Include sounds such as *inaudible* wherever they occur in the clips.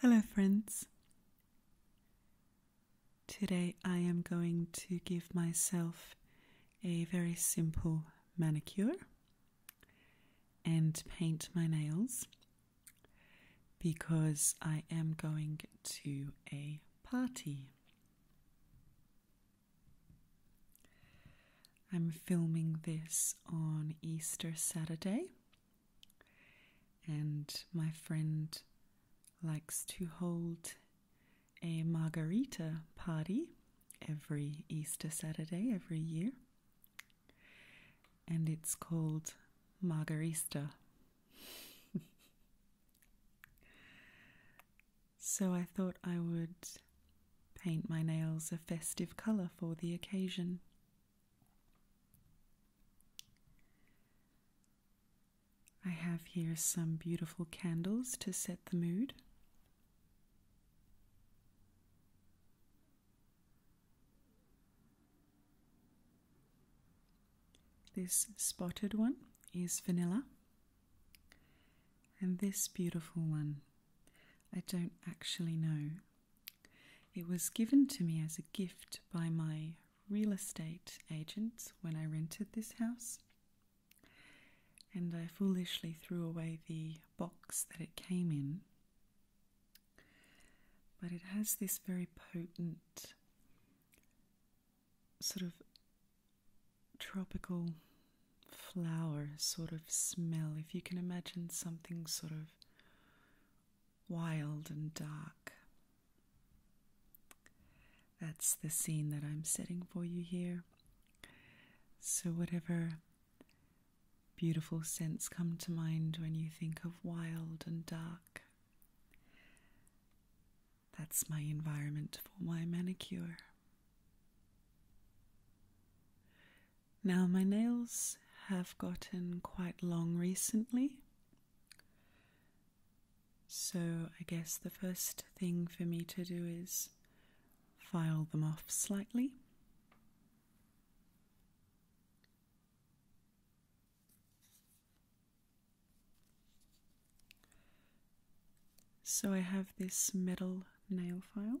Hello, friends. Today I am going to give myself a very simple manicure and paint my nails because I am going to a party. I'm filming this on Easter Saturday, and my friend likes to hold a margarita party every Easter Saturday every year, and it's called Margarista. *laughs* so I thought I would paint my nails a festive colour for the occasion. I have here some beautiful candles to set the mood. This spotted one is vanilla, and this beautiful one, I don't actually know. It was given to me as a gift by my real estate agent when I rented this house. And I foolishly threw away the box that it came in. But it has this very potent sort of tropical flower sort of smell. If you can imagine something sort of wild and dark. That's the scene that I'm setting for you here. So, whatever beautiful scents come to mind when you think of wild and dark, that's my environment for my manicure. Now, my nails have gotten quite long recently, so I guess the first thing for me to do is file them off slightly. So I have this metal nail file.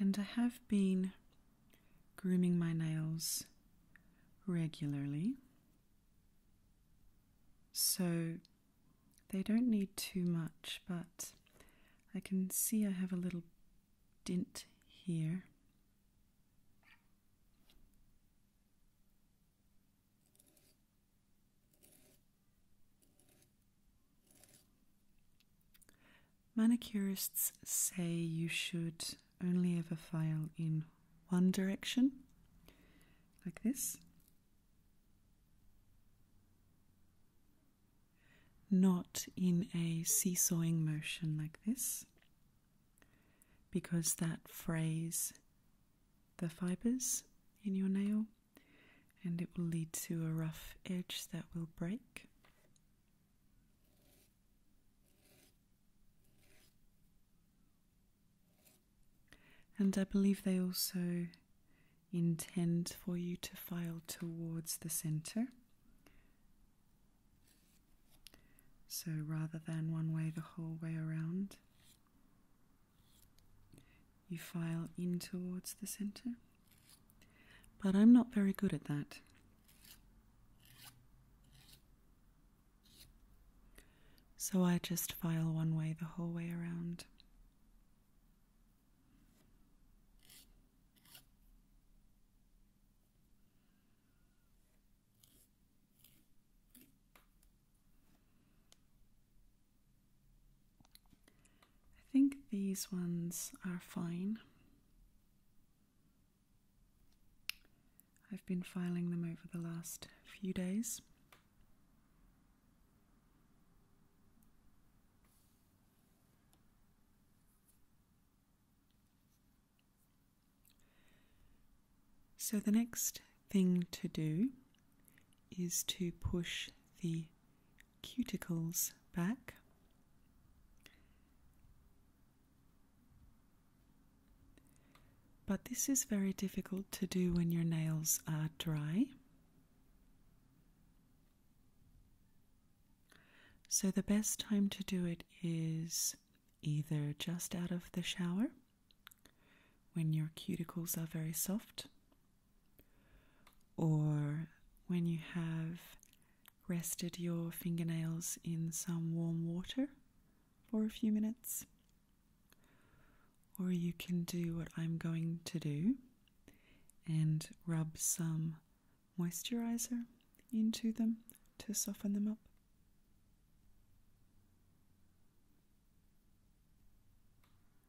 And I have been grooming my nails regularly, so they don't need too much, but I can see I have a little dint here. Manicurists say you should only ever file in one direction, like this, not in a seesawing motion like this, because that frays the fibers in your nail and it will lead to a rough edge that will break. And I believe they also intend for you to file towards the center. So rather than one way the whole way around, you file in towards the center, but I'm not very good at that. So I just file one way the whole way around. I think these ones are fine. I've been filing them over the last few days. So, the next thing to do is to push the cuticles back. But this is very difficult to do when your nails are dry. So, the best time to do it is either just out of the shower when your cuticles are very soft or when you have rested your fingernails in some warm water for a few minutes. Or you can do what I'm going to do and rub some moisturizer into them to soften them up.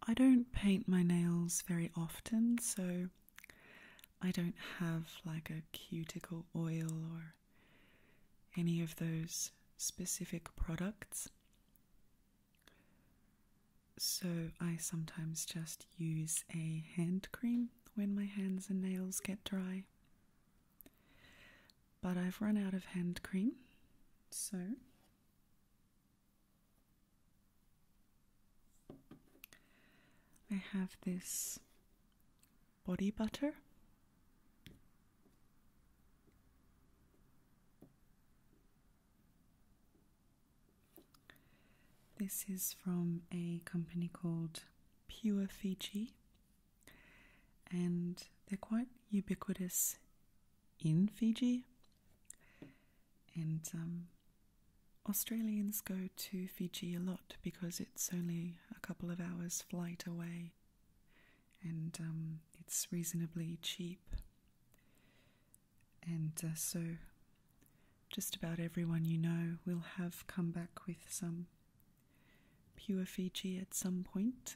I don't paint my nails very often, so I don't have like a cuticle oil or any of those specific products. So I sometimes just use a hand cream when my hands and nails get dry. But I've run out of hand cream, so I have this body butter. This is from a company called Pure Fiji, and they're quite ubiquitous in Fiji and um, Australians go to Fiji a lot because it's only a couple of hours' flight away and um, it's reasonably cheap. And uh, so, just about everyone you know will have come back with some pure Fiji at some point.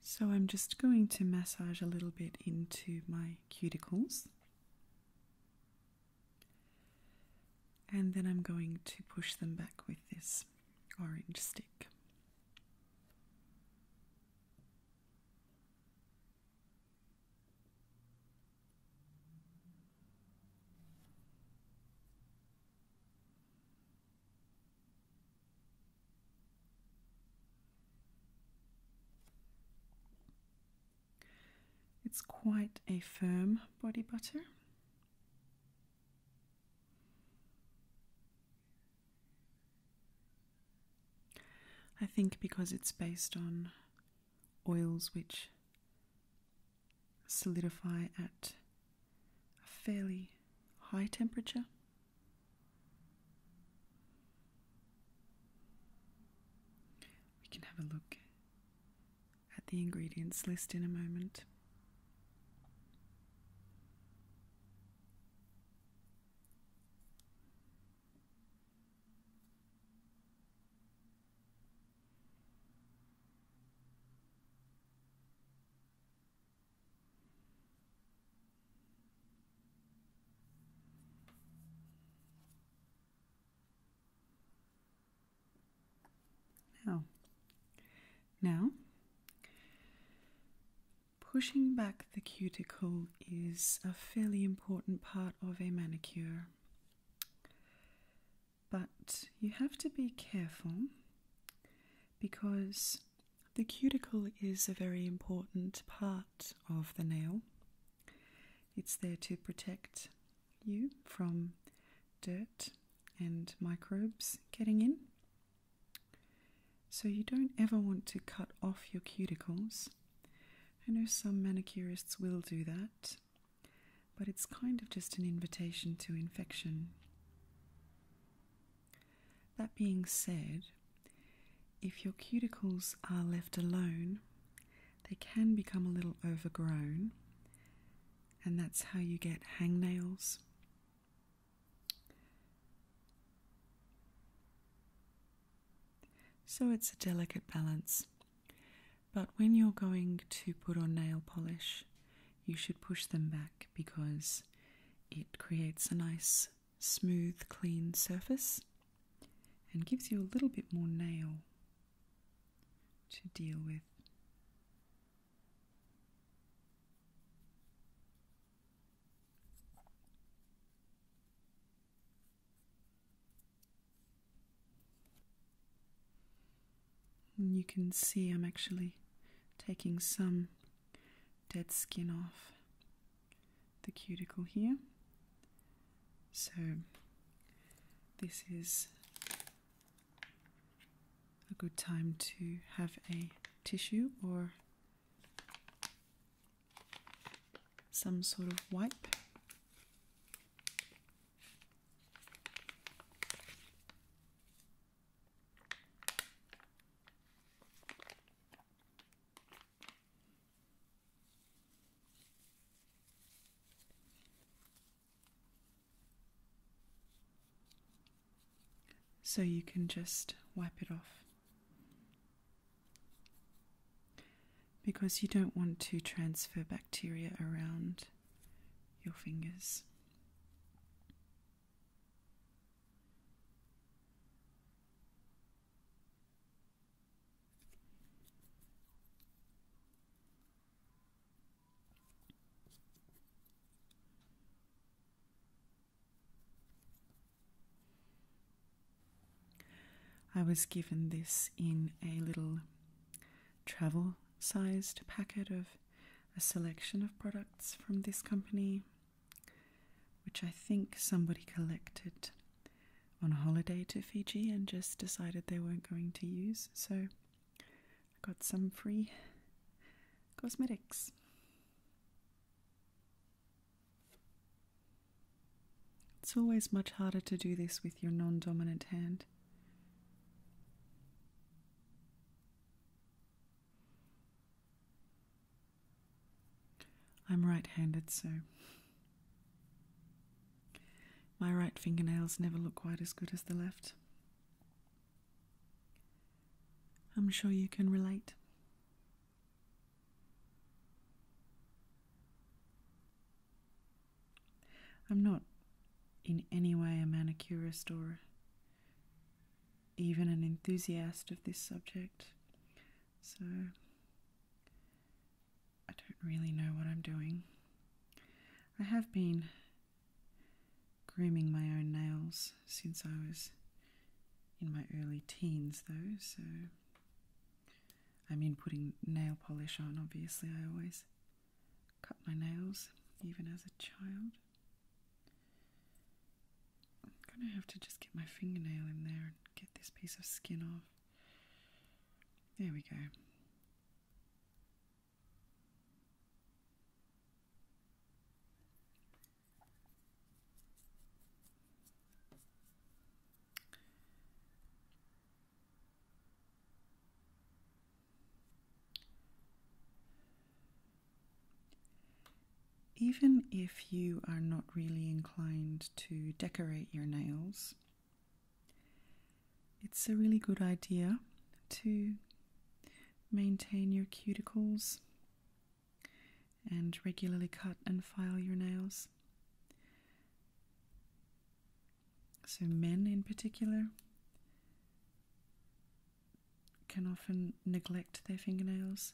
So I'm just going to massage a little bit into my cuticles. And then I'm going to push them back with this orange stick. It's quite a firm body butter. I think because it's based on oils which solidify at a fairly high temperature. We can have a look at the ingredients list in a moment. Now, now pushing back the cuticle is a fairly important part of a manicure. But you have to be careful because the cuticle is a very important part of the nail. It's there to protect you from dirt and microbes getting in. So you don't ever want to cut off your cuticles. I know some manicurists will do that, but it's kind of just an invitation to infection. That being said, if your cuticles are left alone, they can become a little overgrown, and that's how you get hangnails. So it's a delicate balance. But when you're going to put on nail polish, you should push them back because it creates a nice smooth, clean surface and gives you a little bit more nail to deal with. you can see I'm actually taking some dead skin off the cuticle here. So, this is a good time to have a tissue or some sort of wipe. So you can just wipe it off because you don't want to transfer bacteria around your fingers. I was given this in a little travel sized packet of a selection of products from this company, which I think somebody collected on a holiday to Fiji and just decided they weren't going to use. So I got some free cosmetics. It's always much harder to do this with your non dominant hand. I'm right handed, so my right fingernails never look quite as good as the left. I'm sure you can relate. I'm not in any way a manicurist or even an enthusiast of this subject, so I don't really know what I'm doing. I have been grooming my own nails since I was in my early teens, though, so I mean, putting nail polish on, obviously, I always cut my nails, even as a child. I'm gonna have to just get my fingernail in there and get this piece of skin off. There we go. Even if you are not really inclined to decorate your nails, it's a really good idea to maintain your cuticles and regularly cut and file your nails. So, men in particular can often neglect their fingernails.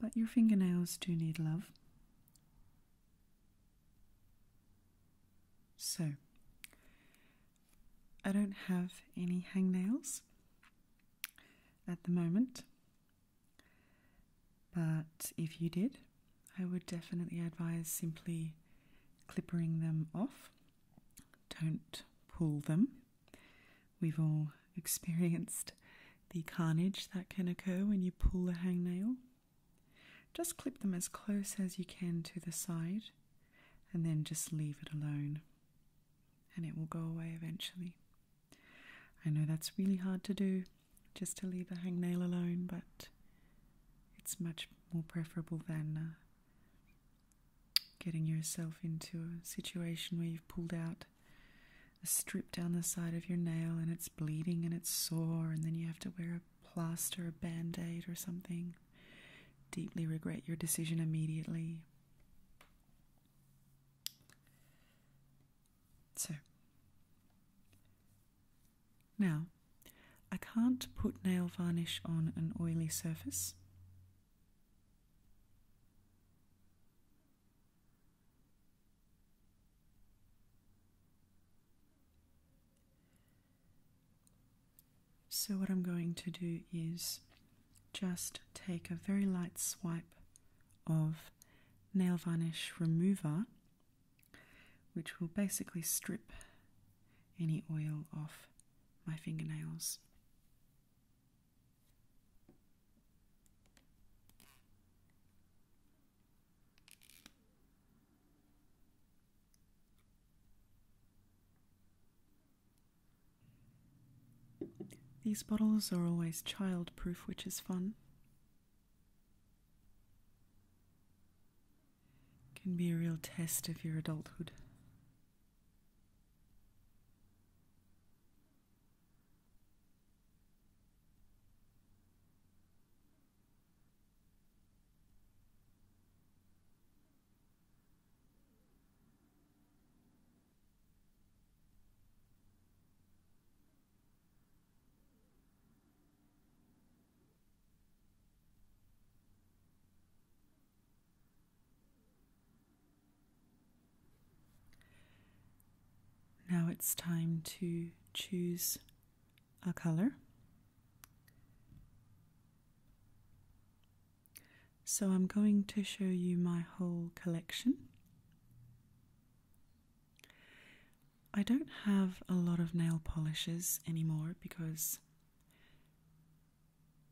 But your fingernails do need love. So, I don't have any hangnails at the moment, but if you did, I would definitely advise simply clippering them off. Don't pull them. We've all *laughs* experienced the carnage that can occur when you pull a hangnail. Just clip them as close as you can to the side and then just leave it alone and it will go away eventually. I know that's really hard to do, just to leave a hangnail alone, but it's much more preferable than uh, getting yourself into a situation where you've pulled out a strip down the side of your nail and it's bleeding and it's sore, and then you have to wear a plaster, a band aid, or something. Deeply regret your decision immediately. So, now, I can't put nail varnish on an oily surface. So, what I'm going to do is just take a very light swipe of nail varnish remover which will basically strip any oil off my fingernails. These bottles are always childproof, which is fun can be a real test of your adulthood. Now it's time to choose a color. So I'm going to show you my whole collection. I don't have a lot of nail polishes anymore because,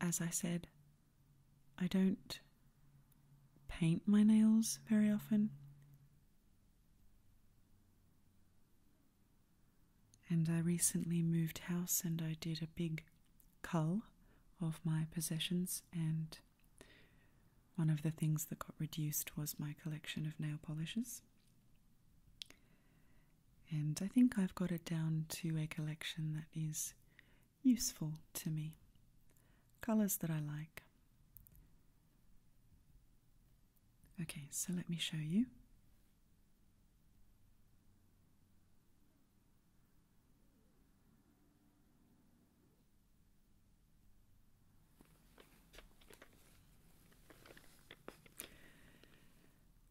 as I said, I don't paint my nails very often. And I recently moved house and I did a big cull of my possessions and one of the things that got reduced was my collection of nail polishes. And I think I've got it down to a collection that is useful to me. Colours that I like. Okay, so let me show you.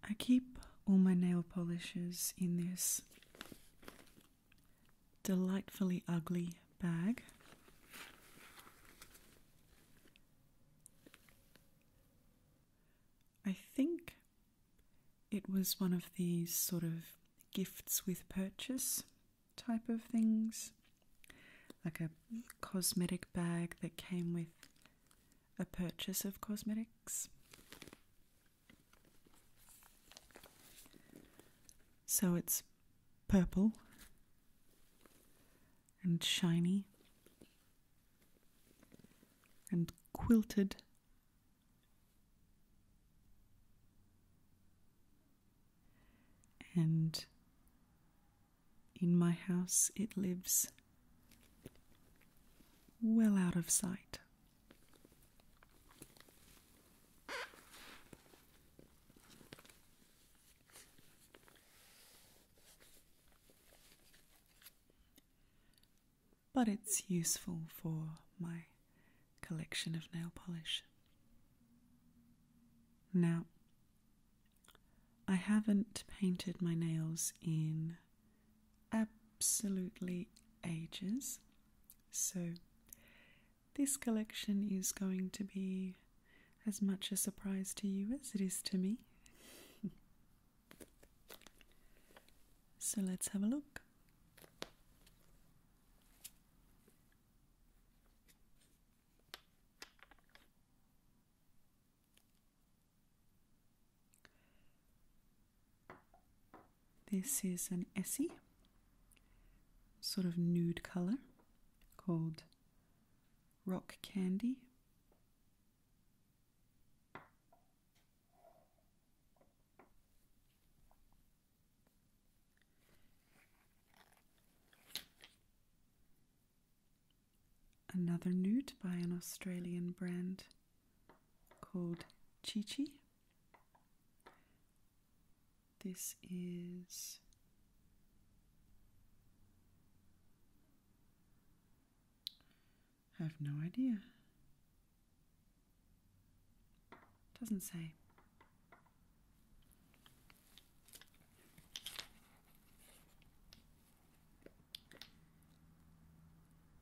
I keep all my nail polishes in this delightfully ugly bag. I think it was one of these sort of gifts with purchase type of things, like a cosmetic bag that came with a purchase of cosmetics. So it's purple and shiny and quilted. And in my house it lives well out of sight. But it's useful for my collection of nail polish. Now, I haven't painted my nails in absolutely ages, so this collection is going to be as much a surprise to you as it is to me. *laughs* so let's have a look. This is an Essie, sort of nude colour, called Rock Candy. Another nude by an Australian brand called Chi Chi. This is I have no idea. Doesn't say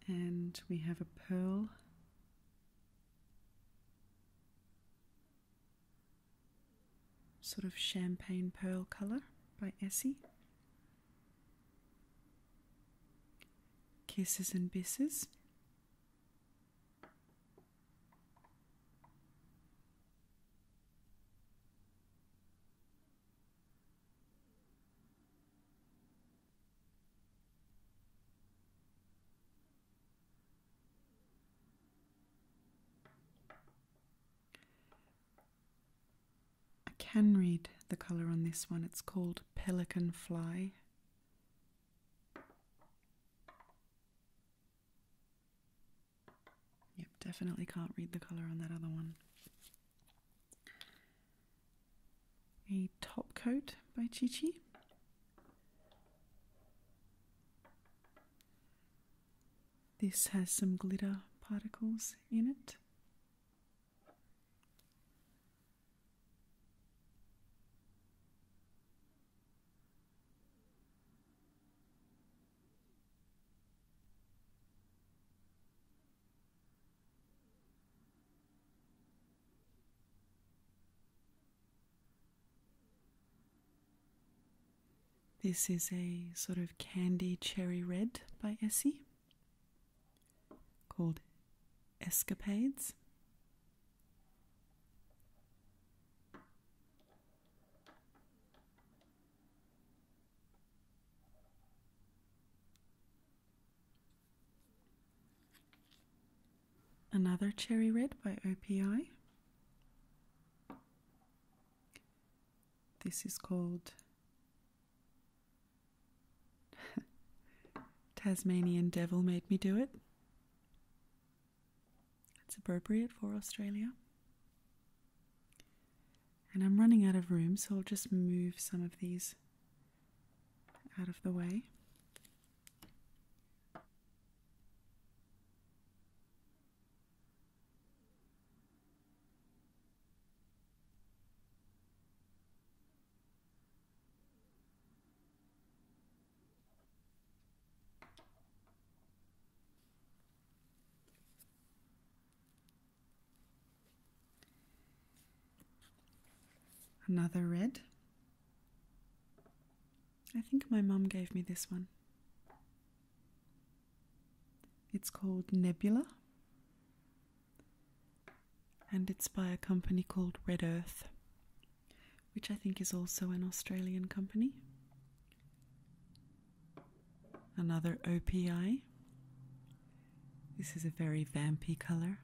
and we have a pearl. Sort of champagne pearl color by Essie. Kisses and Bisses. I can read the colour on this one, it's called Pelican Fly. Yep, definitely can't read the color on that other one. A top coat by Chichi. This has some glitter particles in it. This is a sort of candy cherry red by Essie called Escapades. Another Cherry Red by OPI. This is called *laughs* Tasmanian Devil Made Me Do It. It's appropriate for Australia. And I'm running out of room, so I'll just move some of these out of the way. Another red. I think my mum gave me this one. It's called Nebula and it's by a company called Red Earth, which I think is also an Australian company. Another OPI. This is a very vampy color.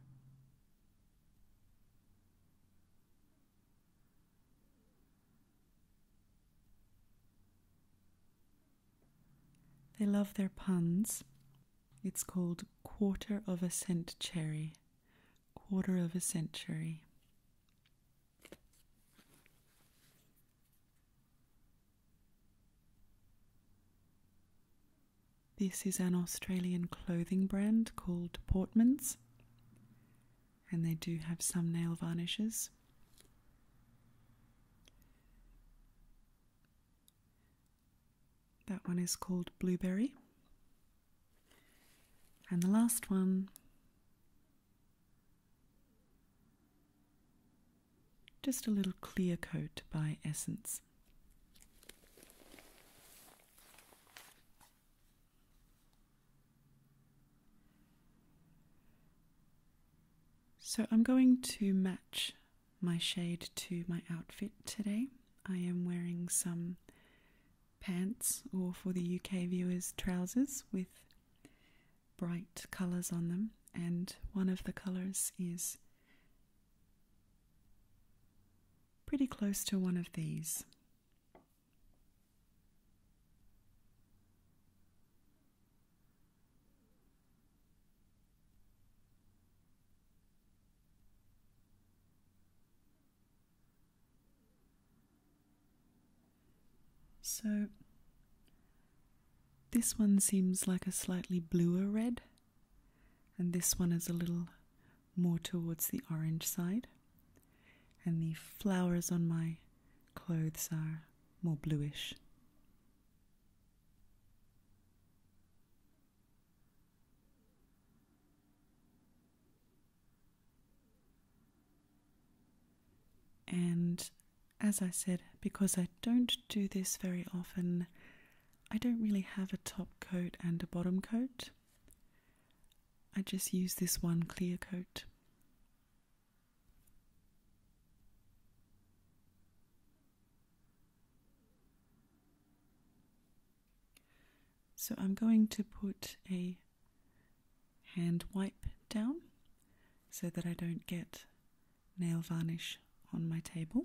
They love their puns. It's called quarter of a cent cherry. Quarter of a century. This is an Australian clothing brand called Portman's, and they do have some nail varnishes. That one is called Blueberry. And the last one just a little clear coat by Essence. So I'm going to match my shade to my outfit today. I am wearing some pants, or for the UK viewers, trousers with bright colors on them, and one of the colors is pretty close to one of these. So this one seems like a slightly bluer red, and this one is a little more towards the orange side. And the flowers on my clothes are more bluish. And as I said, because I don't do this very often, I don't really have a top coat and a bottom coat. I just use this one clear coat. So I'm going to put a hand wipe down so that I don't get nail varnish on my table.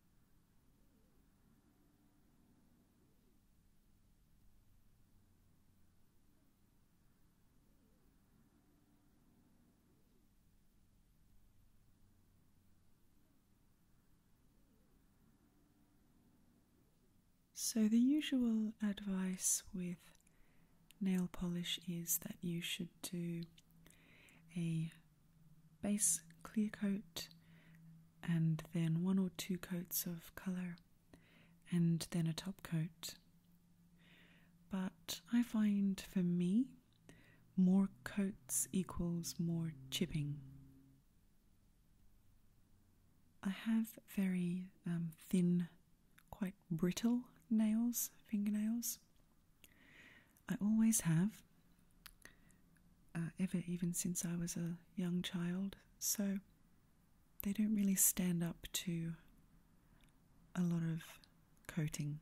So, the usual advice with nail polish is that you should do a base clear coat and then one or two coats of colour and then a top coat. But I find for me, more coats equals more chipping. I have very um, thin, quite brittle nails, fingernails, I always have, uh, ever even since I was a young child. So they don't really stand up to a lot of coating,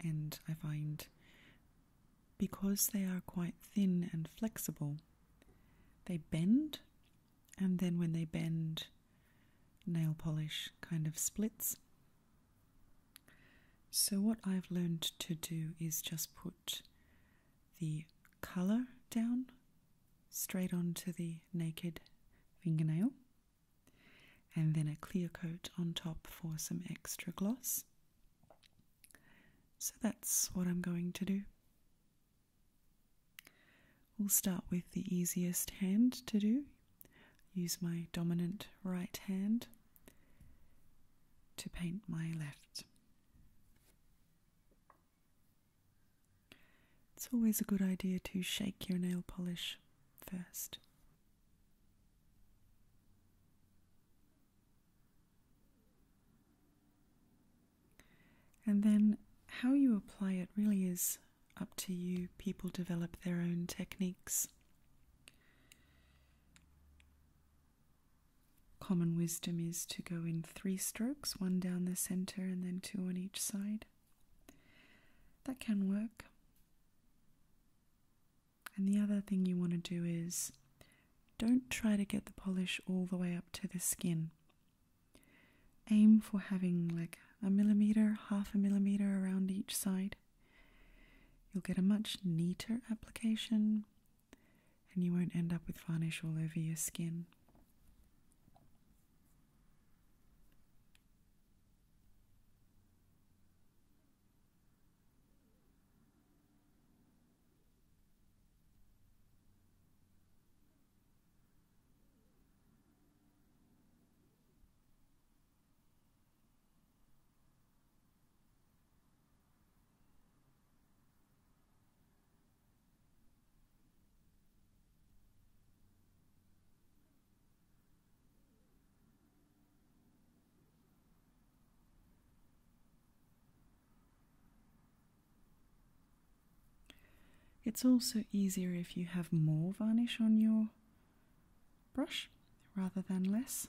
and I find because they are quite thin and flexible, they bend, and then when they bend, nail polish kind of splits so, what I've learned to do is just put the colour down straight onto the naked fingernail and then a clear coat on top for some extra gloss. So, that's what I'm going to do. We'll start with the easiest hand to do. Use my dominant right hand to paint my left. It's always a good idea to shake your nail polish first. And then how you apply it really is up to you. People develop their own techniques. Common wisdom is to go in three strokes, one down the center and then two on each side. That can work. And the other thing you want to do is don't try to get the polish all the way up to the skin. Aim for having like a millimeter, half a millimeter around each side. You'll get a much neater application and you won't end up with varnish all over your skin. It's also easier if you have more varnish on your brush rather than less.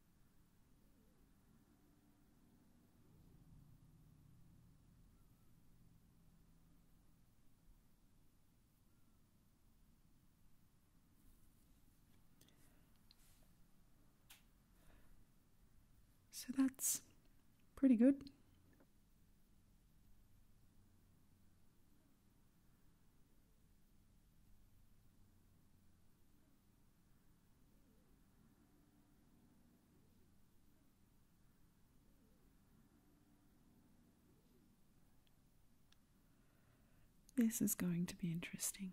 So that's pretty good. This is going to be interesting.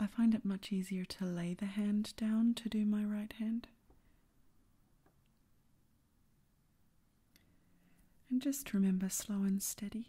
I find it much easier to lay the hand down to do my right hand. And just remember slow and steady.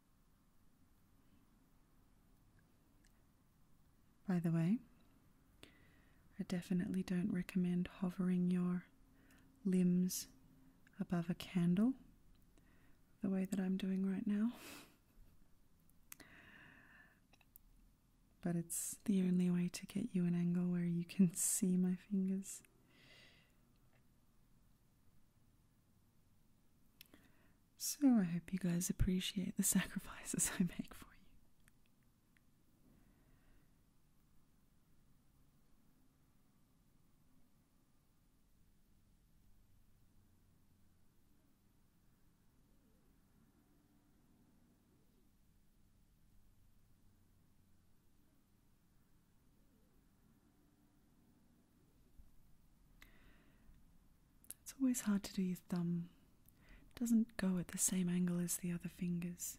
By the way, I definitely don't recommend hovering your limbs above a candle the way that I'm doing right now. but it's the only way to get you an angle where you can *laughs* see my fingers. So I hope you guys appreciate the *laughs* sacrifices I make for you. It's always hard to do your thumb. It doesn't go at the same angle as the other fingers.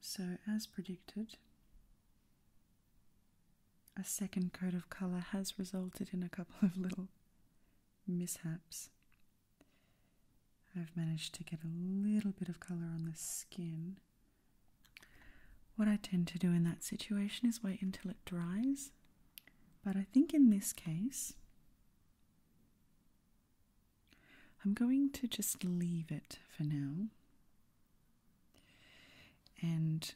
So, as predicted, a second coat of colour has resulted in a couple of little mishaps I've managed to get a little bit of colour on the skin. What I tend to do in that situation is wait until it dries, but I think in this case, I'm going to just leave it for now. And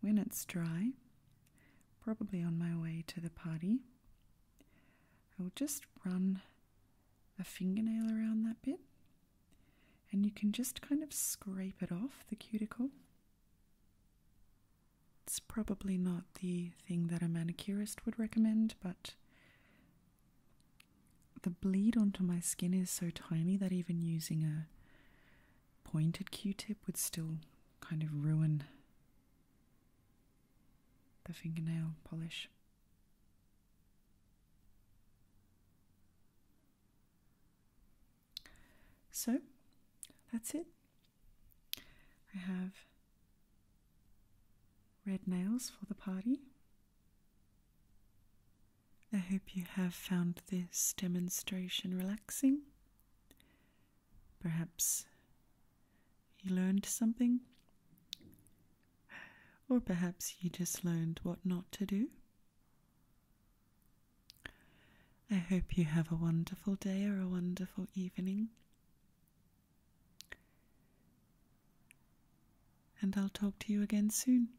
when it's dry, probably on my way to the party, I will just run a fingernail around that bit and you can just kind of scrape it off the cuticle. It's probably not the thing that a manicurist would recommend, but the bleed onto my skin is so tiny that even using a pointed q tip would still kind of ruin the fingernail polish. So that's it. I have red nails for the party. I hope you have found this demonstration relaxing Perhaps you learned something, or perhaps you just learned what not to do. I hope you have a wonderful day or a wonderful evening. And I'll talk to you again soon.